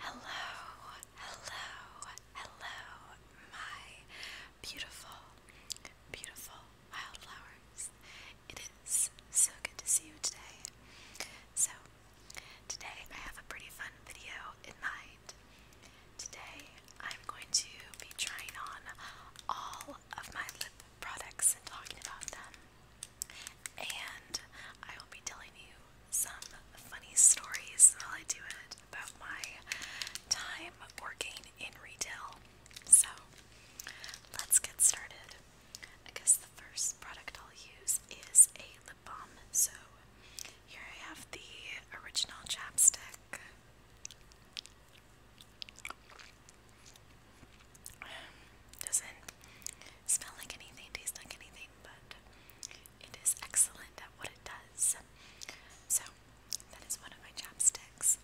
Hello, hello, hello, my beautiful, beautiful wildflowers. It is so good to see you today. So, today I have a pretty fun video in mind. Today I'm going to be trying on all of my lip products and talking about them and I will be telling you some funny stories while I do it about my time working in retail. So let's get started. I guess the first product I'll use is a lip balm. So here I have the original chapstick. Doesn't smell like anything, taste like anything, but it is excellent at what it does. So, that is one of my chapsticks.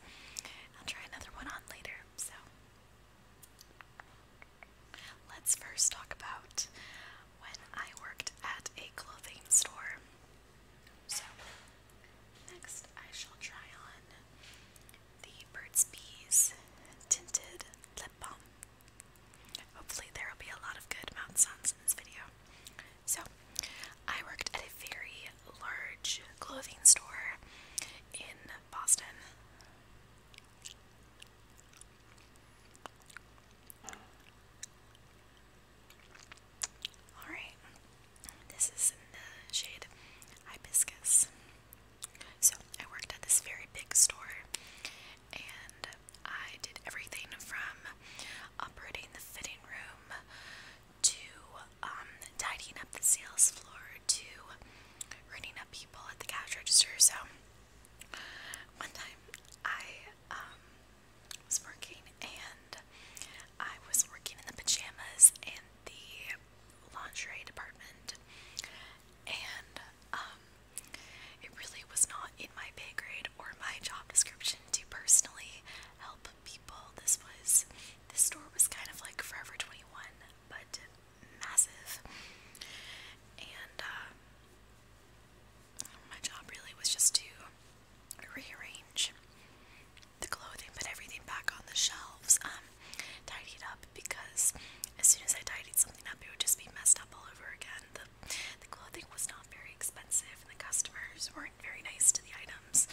I'll try another one on later. So, let's first talk about when I worked at a clothing store. So, next I shall try on the Burt's Bees Tinted Lip Balm. Hopefully, there will be a lot of good mountain sounds in this video. So, I worked at a very large clothing store in Boston. Alright, this is in the shade Hibiscus. So I worked at this very big store and I did everything from operating the fitting room to um, tidying up the sales floor to running up people at the cash register. So one time I um, was working and I was working in the pajamas and the lingerie department and um, it really was not in my pay grade or my job description to personally help people. This was, this store was kind of like Forever 21, but massive. And uh, my job really was just to rearrange the clothing, put everything back on the shelves, um, tidy it up because as soon as I tidied something up, it would just be messed up all over again. The, the clothing was not very expensive, and the customers weren't very nice to the items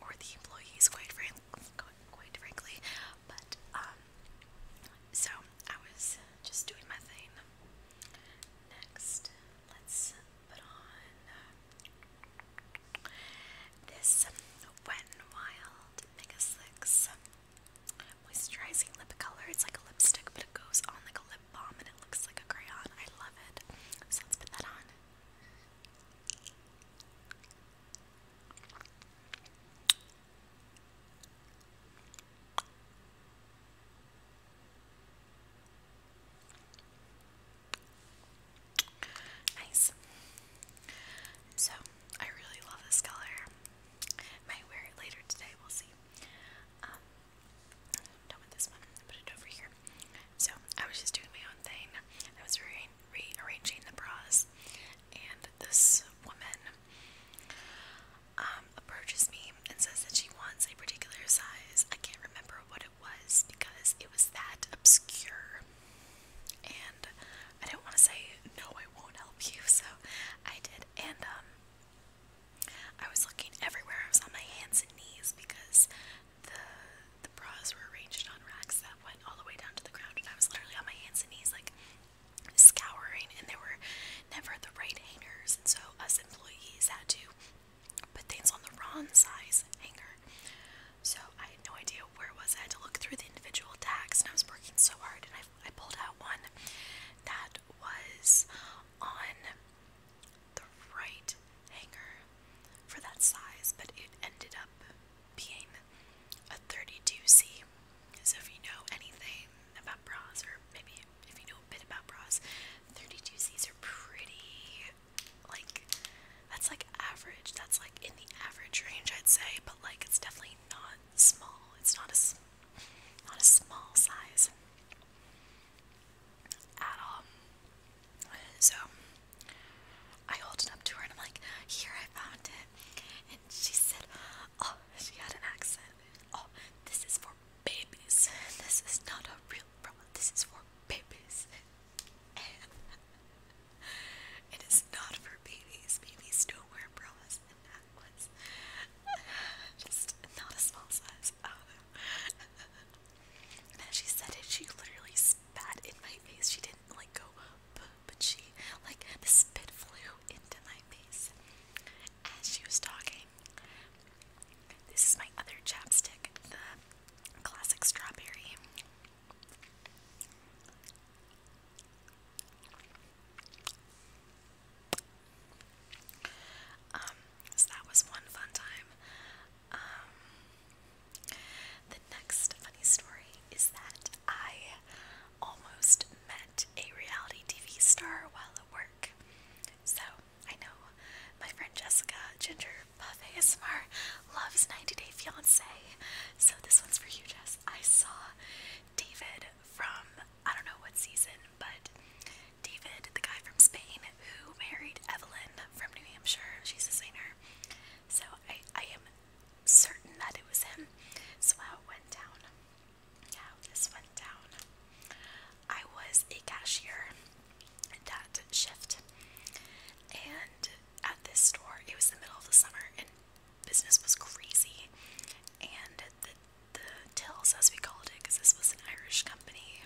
or the employees, quite, frank, quite frankly. But, um, so I was just doing my thing. Next, let's put on this Wet n Wild Mega Slicks moisturizing lip color. It's like a lipstick, but it goes on like a lip balm and it looks like a crayon. I love it. So let's put that on. Nice. So, I really love this color. Might wear it later today, we'll see. i um, done with this one. Put it over here. So I was just doing my own thing. I was rearranging the bras, and this woman um, approaches me and says that she wants a particular size. I can't remember what it was because it was that obscure. And I didn't want to say, no, I won't help you, so I did. And, um, I was looking everywhere. I was on my hands and knees because the the bras were arranged on racks that went all the way down to the ground, and I was literally on my hands and knees, like scouring, and there were never the right hangers, and so us employees had to put things on the wrong size hanger. So I had no idea where it was. I had to look through the individual tags, and I was working so hard. And I, I pulled out one that was on the right hanger for that size, but it ended up being a 32C. So if you know anything about bras, or maybe if you know a bit about bras, 32Cs are pretty like that's like average. That's like in the average range, I'd say. But like, it's definitely not small. It's not a not a small size at all. So I hold it up to her and I'm like, "Here, I found it." And she said, "Oh, she had an accent. Oh, this is for babies. This is not a real bra. This is for babies." It is not for babies. Babies don't wear bras and necklaces. Just not a small size. I As she said it, she literally spat in my face. She didn't like go up, but she like the spit flew into my face as she was talking. This is my other chapstick, the classic strawberry. Um, that was one fun time. Um, the next funny story is that I almost met a reality TV star while at work. So I know my friend Jessica Ginger Buff ASMR loves 90 Day Fiance. So this one's for you, Jess. I saw David from I don't know what season, but David, the guy from Spain who married Evelyn from New Hampshire, she's a singer. So I, I am certain that it was him. So how it went down. How this went down. I was a cashier that shift and at this store. It was the middle of the summer and business was crazy. And the the tills, as we called it, because this was an Irish company,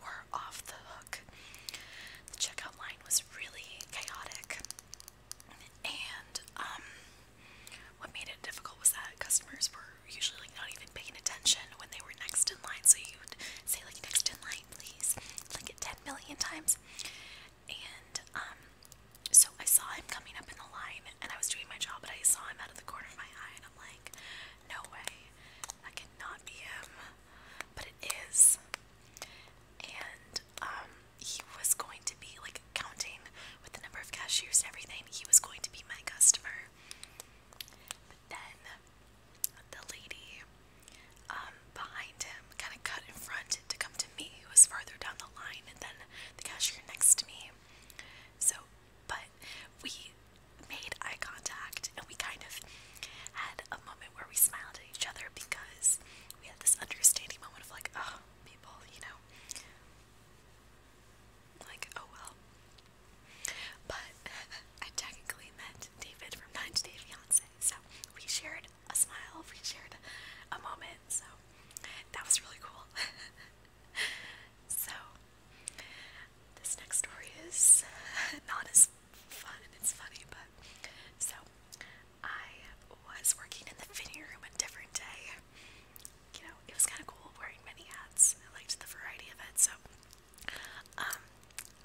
were off the hook. The checkout line was really chaotic. And um, what made it difficult was that customers were usually not even paying attention when they were next in line. So you'd say like next in line, please, like it ten million times, and um, so I saw him coming up in the line and I was doing my job but I saw him out of the corner of my eye and I'm like no way that cannot be him but it is and um, he was going to be like counting with the number of cashiers and everything he was going to be my customer but then the lady um, behind him kind of cut in front to come to me, who was farther down the line, and then the cashier next to me. So, but we made eye contact and we kind of had a moment where we smiled at each other because we had this understanding moment of like, oh, people, you know, like, oh well. But I technically met David from Nine to Day Fiance so we shared a smile, we shared a moment. So that was really cool. so this next story is not as fun. It's funny, but so I was working in the fitting room a different day. You know, it was kind of cool wearing many hats. I liked the variety of it. So, um,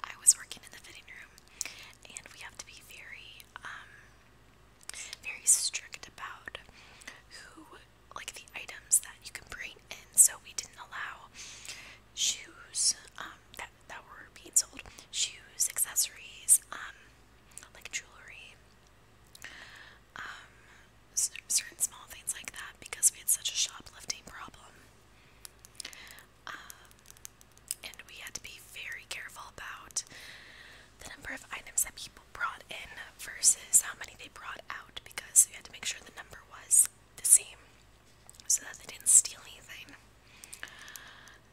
I was working in the fitting room, and we have to be very, um, very strict about who, like, the items that you can bring in. So we didn't allow shoes, um, that, that were being sold, shoes, accessories, um, like jewelry, um, certain small things like that because we had such a shoplifting problem. Um, and we had to be very careful about the number of items that people brought in versus how many they brought out because we had to make sure the number was the same so that they didn't steal anything.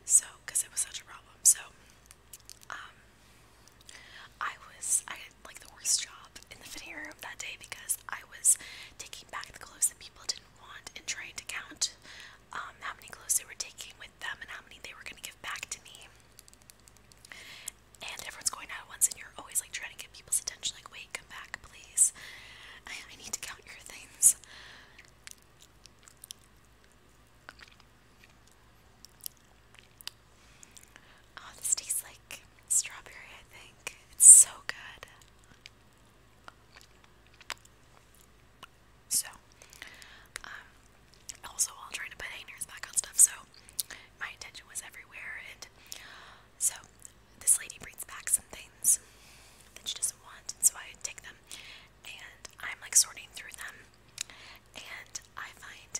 So, because it was such a problem. So, um, I was, I had like the worst job in the fitting room that day because I was taking back the clothes that people didn't and trying to count um, how many clothes they were taking with them and how many they were gonna give back to me. And everyone's going out once, and you're always like trying to get people's attention. Like, wait, come back, please. I, I need to count your things. Oh, this tastes like strawberry, I think. It's so good. So, um, also while trying to put hangers back on stuff, so my attention was everywhere, and so this lady brings back some things that she doesn't want, and so I take them, and I'm like sorting through them, and I find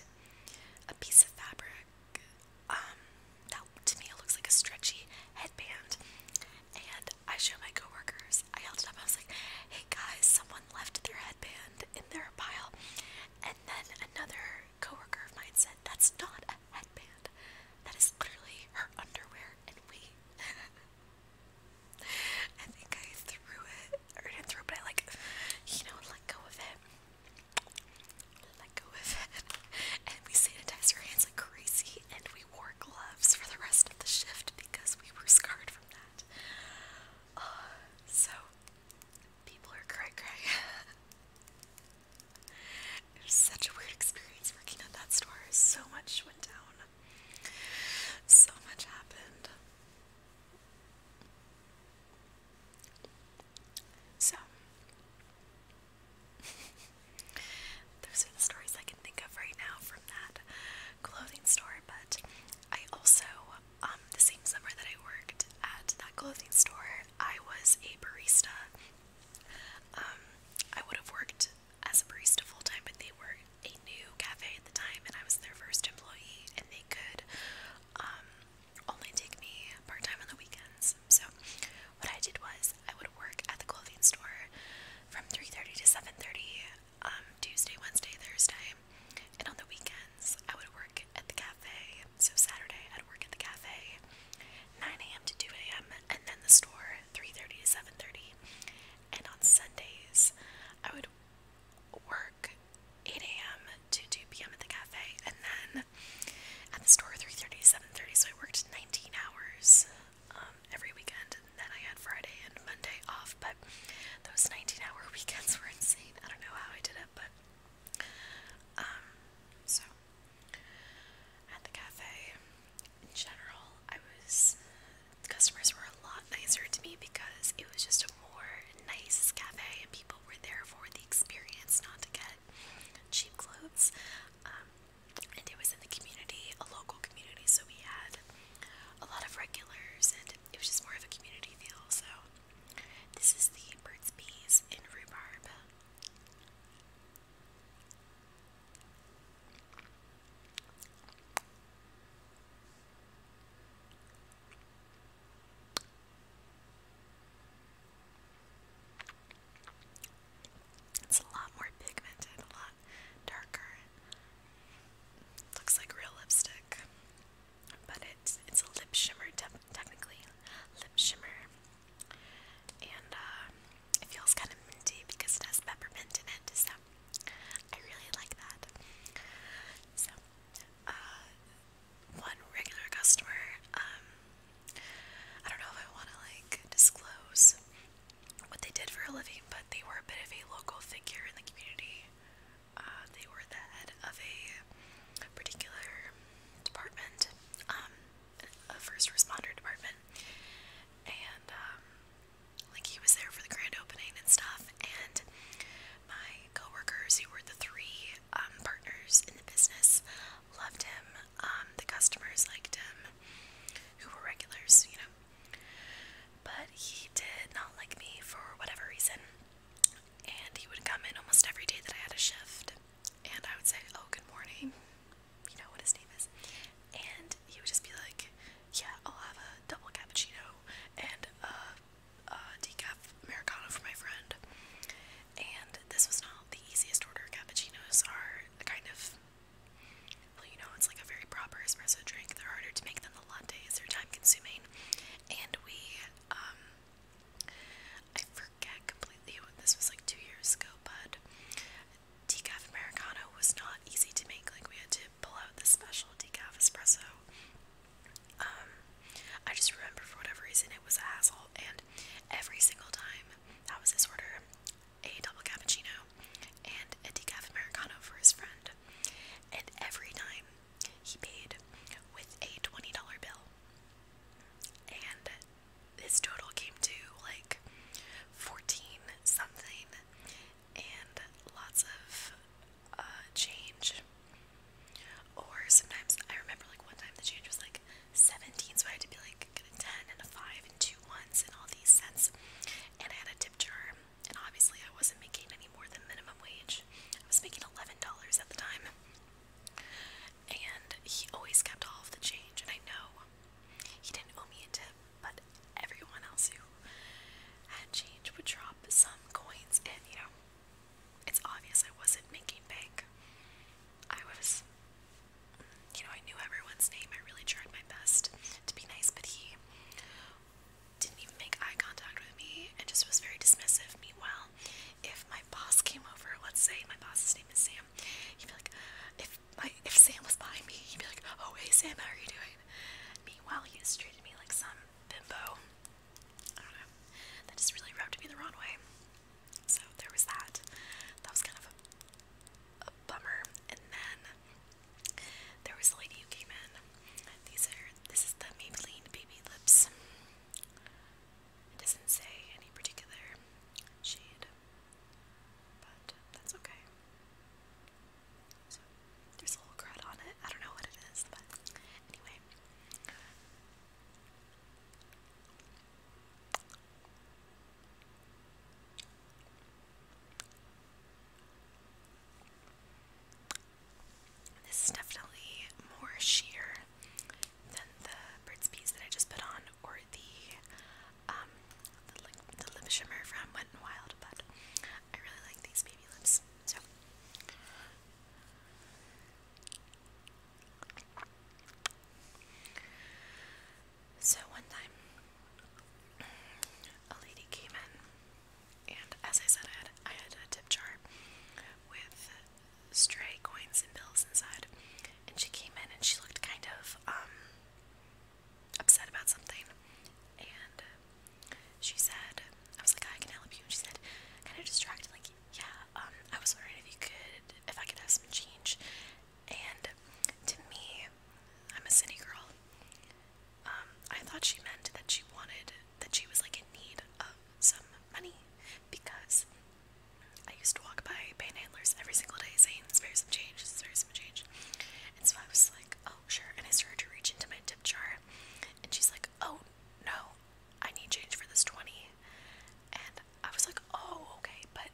a piece of fabric, um, that to me it looks like a stretchy headband. And I show my coworkers. I held it up. I was like, "Hey guys, someone left their headband in their pile." And then another coworker of mine said, "That's not a headband. That is literally her underwear." And we, I think I threw it, or didn't throw, but I like, you know, let go of it. Let go of it. And we sanitized her hands pants like crazy, and we wore gloves for the rest of the shift because we were scarred from that. Uh, so, people are cray cray. it was such a weird experience working at that store. So much went down, so much happened. So, Those are the stories I can think of right now from that clothing store. But I also, um, the same summer that I worked at that clothing store, I was a barista. Um, I would have worked as a barista full time, but they were a new cafe at the time, and I was their first employee, and they could um, only take me part time on the weekends. So what I did was I would work at the clothing store from 3:30 to 7:30 um, Tuesday, Wednesday, Thursday. And on the weekends I would work at the cafe. So Saturday I'd work at the cafe 9 a.m. to 2 a.m. and then the store 3:30 to 7:30. And on Sundays I would work 8 a.m. to 2 p.m. at the cafe and then at the store 3.30 7.30 so I worked 19 hours um, every weekend and then I had Friday and Monday off but those 19 hour weekends were insane I don't know how I did it but um, so at the cafe in general I was customers were a lot nicer to me because it was just a more nice cafe and people were there for the experience not to get cheap clothes um, and it was in the community, a local community, so we had a lot of regulars, and it was just more of a community feel. So, this is the bird's Bees in Rhubarb. It's a lot more pigmented, a lot darker. Looks like real lipstick, but it's it's a lip shimmer technically, lip shimmer, and uh, it feels kind of minty because it has peppermint in it. So I really like that. So uh, one regular customer um, I don't know if I want to like disclose what they did for a living, but they were a bit of a local figure in the community. Uh, they were the head of a particular department, um, a first responder department, and um, like he was there for the grand opening and stuff. And my coworkers, who were the three um, partners in the business, loved him. Um, the customers liked him, who were regulars, you know. But he did not like me for whatever reason. And he would come in almost every day that I had a shift. And I would say, Oh, good morning. You know what his name is. And he would just be like, Yeah, I'll have a double cappuccino and a, a decaf Americano for my friend and this was not the easiest order. Cappuccinos are the kind of, well, you know, it's like a very proper espresso drink. They're harder to make than the latte. Is They're time consuming, and we, um, I forget completely what this was like two years ago, but decaf americano was not easy to make. Like we had to pull out the special decaf espresso. Um, I just remember for whatever reason it was a hassle, and every single time. That was his order a double cappuccino and a decaf Americano for his friend. And every time he paid with a $20 bill. And this total came to like 14 something and lots of uh, change. Or sometimes I remember like one time the change was like 17, so I had to be like get a 10 and a 5 and two ones and all these cents. And I had a tip jar, and obviously I wasn't making any more than minimum wage. I was making $11 at the time. And he always kept all of the change, and I know he didn't owe me a tip, but everyone else who had change would drop some coins in, you know it's obvious I wasn't making bank. I was, you know, I knew everyone's name. I really tried my best to be nice, but he didn't even make eye contact with me and just was very dismissive. Meanwhile, if my boss came over, let's say my boss's name is Sam, he'd be like, if my if Sam was behind me, he'd be like, "Oh hey Sam, how are you doing?" Meanwhile, he just treated me like some bimbo. I don't know. That just really rubbed me the wrong way. So there was that. That was kind of a, bummer. And then there was a lady who came in. These are this is the Maybelline baby lips. It doesn't say any particular shade, but that's okay. So there's a little crud on it. I don't know what it is, but anyway. This is definitely more sheer than the Burt's Bees that I just put on, or the um, the, lip shimmer from Wet n Wild, but I really like these baby lips. So so one time, a lady came in, and as I said, I had, a tip jar with stray coins and bills inside. And she came in and she looked kind of um, upset about something. And she said, I was like, I can help you. And she said, kind of distractedly, like, yeah, um, I was wondering if you could, if I could have some change. And to me, I'm a city girl. Um, I thought she meant that she wanted, that she was like in need of some money because I used to walk by panhandlers every single day saying, spare some change, spare some change. And so I was like, oh, sure. And I started to reach into my tip jar. And she's like, oh, no, I need change for this 20. And I was like, oh, okay, but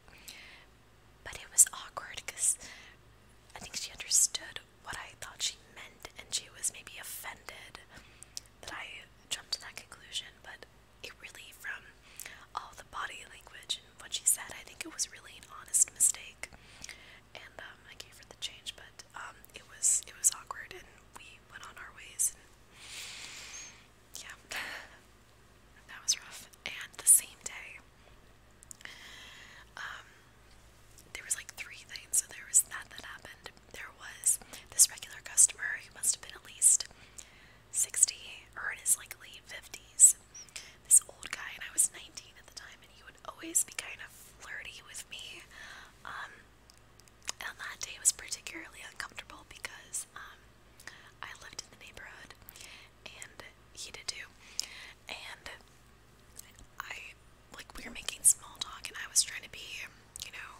but it was awkward because I think she understood what I thought she meant and she was maybe offended that I jumped to that conclusion, but it really from all the body language and what she said, I think it was really an honest mistake. And um, I gave her the change, but but um, it was it was awkward, and we went on our ways. And yeah, that was rough. And the same day, um, there was like three things. So there was that that happened. There was this regular customer who must have been at least sixty or in his like late fifties. This old guy, and I was nineteen at the time, and he would always be kind of flirty with me. Um, and that day was particularly uncomfortable because um, I lived in the neighborhood and he did too. And I, like, we were making small talk and I was trying to be, you know,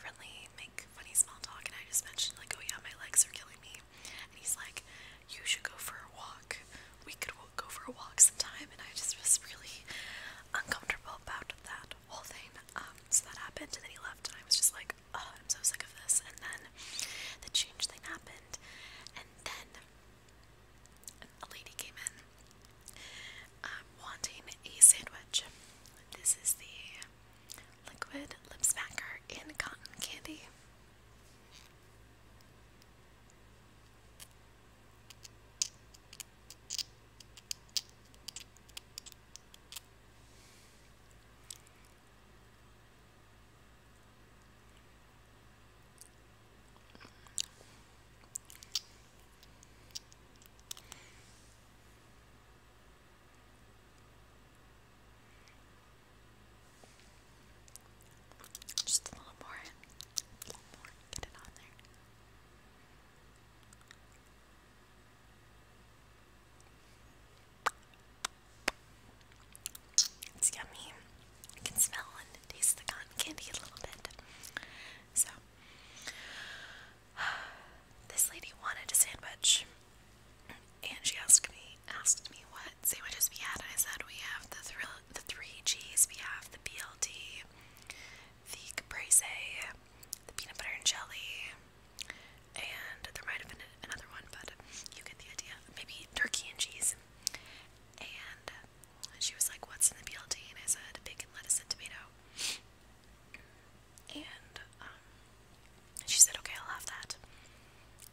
friendly, make funny small talk. And I just mentioned, like, oh yeah, my legs are killing me. And he's like, you should go for a walk. We could go for a walk sometime. And I just was really uncomfortable about that whole thing. Um, so that happened, and then he left, and I was just like, oh, I'm so sick of this. And then the change thing happened, and then a lady came in um, wanting a sandwich. This is the liquid lip smacker in cotton candy. Just a little more Get it on there. It's yummy. You can smell and taste the cotton candy a little bit. So, this lady wanted a sandwich, and she asked me asked me what sandwiches we had. I said we have the thrill, the three G's. We have the BLT, the caprese, the peanut butter and jelly, and there might have been another one, but you get the idea. Maybe turkey and cheese. And she was like, What's in the BLT? And I said, Bacon, lettuce, and tomato. And um, she said, Okay, I'll have that.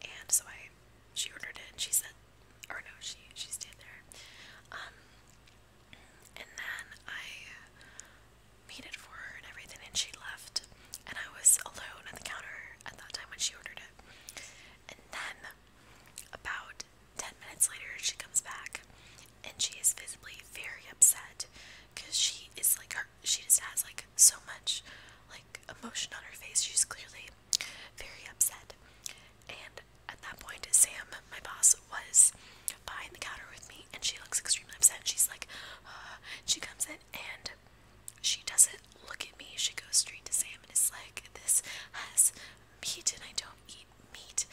And so I, she ordered it, and she said, or no, she she stayed there. Um, and then I made for her and everything, and she left. And I was alone at the counter at that time when she ordered it. And then, about 10 minutes later, she comes back and she is visibly very upset because she is like, her, she just has like so much like emotion on her face. She's clearly very upset. And at that point, Sam, my boss, was behind the counter with me, and she looks extremely upset. She's like, uh, she comes in and she doesn't look at me. She goes straight to Sam and is like, "This has meat, and I don't eat meat."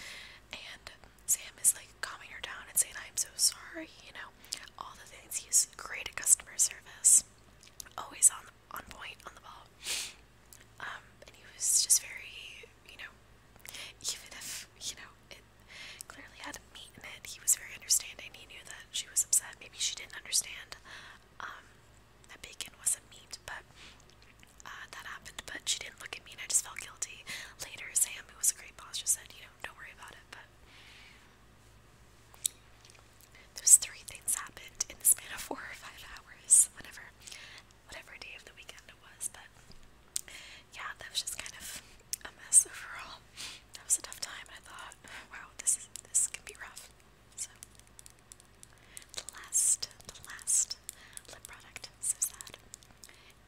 And Sam is like calming her down and saying, "I'm so sorry," you know, all the things. He's great at customer service, always on the, on point, on the ball. Um, and he was just very, you know, even if, you know, it clearly had meat in it, he was very understanding. He knew that she was upset. Maybe she didn't understand um, that bacon wasn't meat, but uh, that happened. But she didn't look at me and I just felt guilty. Later, Sam, who was a great boss, just said, you know, don't worry about it, but. Those three things happened in the span of four or five hours, whatever whatever day of the weekend it was, but yeah, that was just kind of a mess overall. That was a tough time, and I thought, wow, this is this can be rough. So the last, the last lip product, so sad,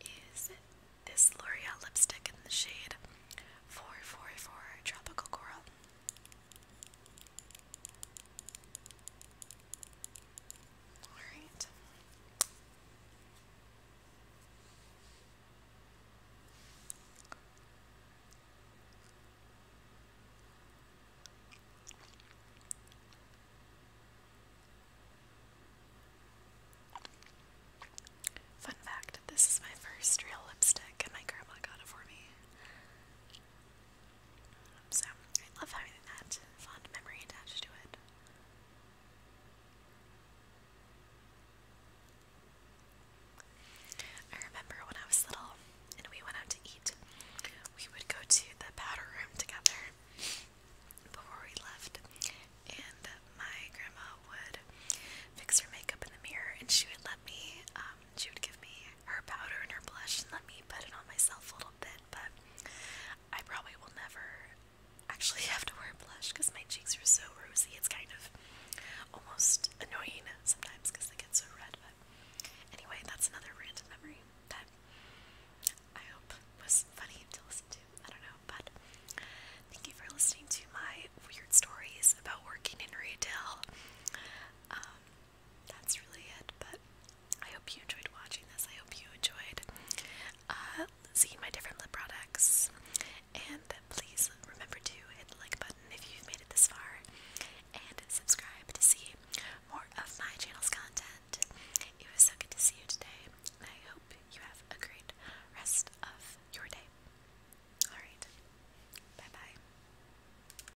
is this L'Oreal lipstick in the shade 444 Tropical Coral. All right. Fun fact, this is my first real lipstick and my grandma got it for me. So, I love having that fond memory attached to it. I remember when I was little and we went out to eat, we would go to the powder room together before we left, and my grandma would fix her makeup in the mirror, and she would let me, um, she would give me her powder and her blush and let me put it on myself a little bit, but I probably will never actually have to wear blush because my cheeks are so rosy. It's kind of almost annoying sometimes because they get so red, but anyway, that's another random memory that I hope was funny to listen to. I don't know, but thank you for listening to my weird stories about working in retail. Um, that's really it. But I hope you enjoyed watching this. I hope you enjoyed uh, seeing my different lip products. And please remember to hit the like button if you've made it this far, and subscribe to see more of my channel's content. It was so good to see you today, and I hope you have a great rest of your day. Alright, bye bye.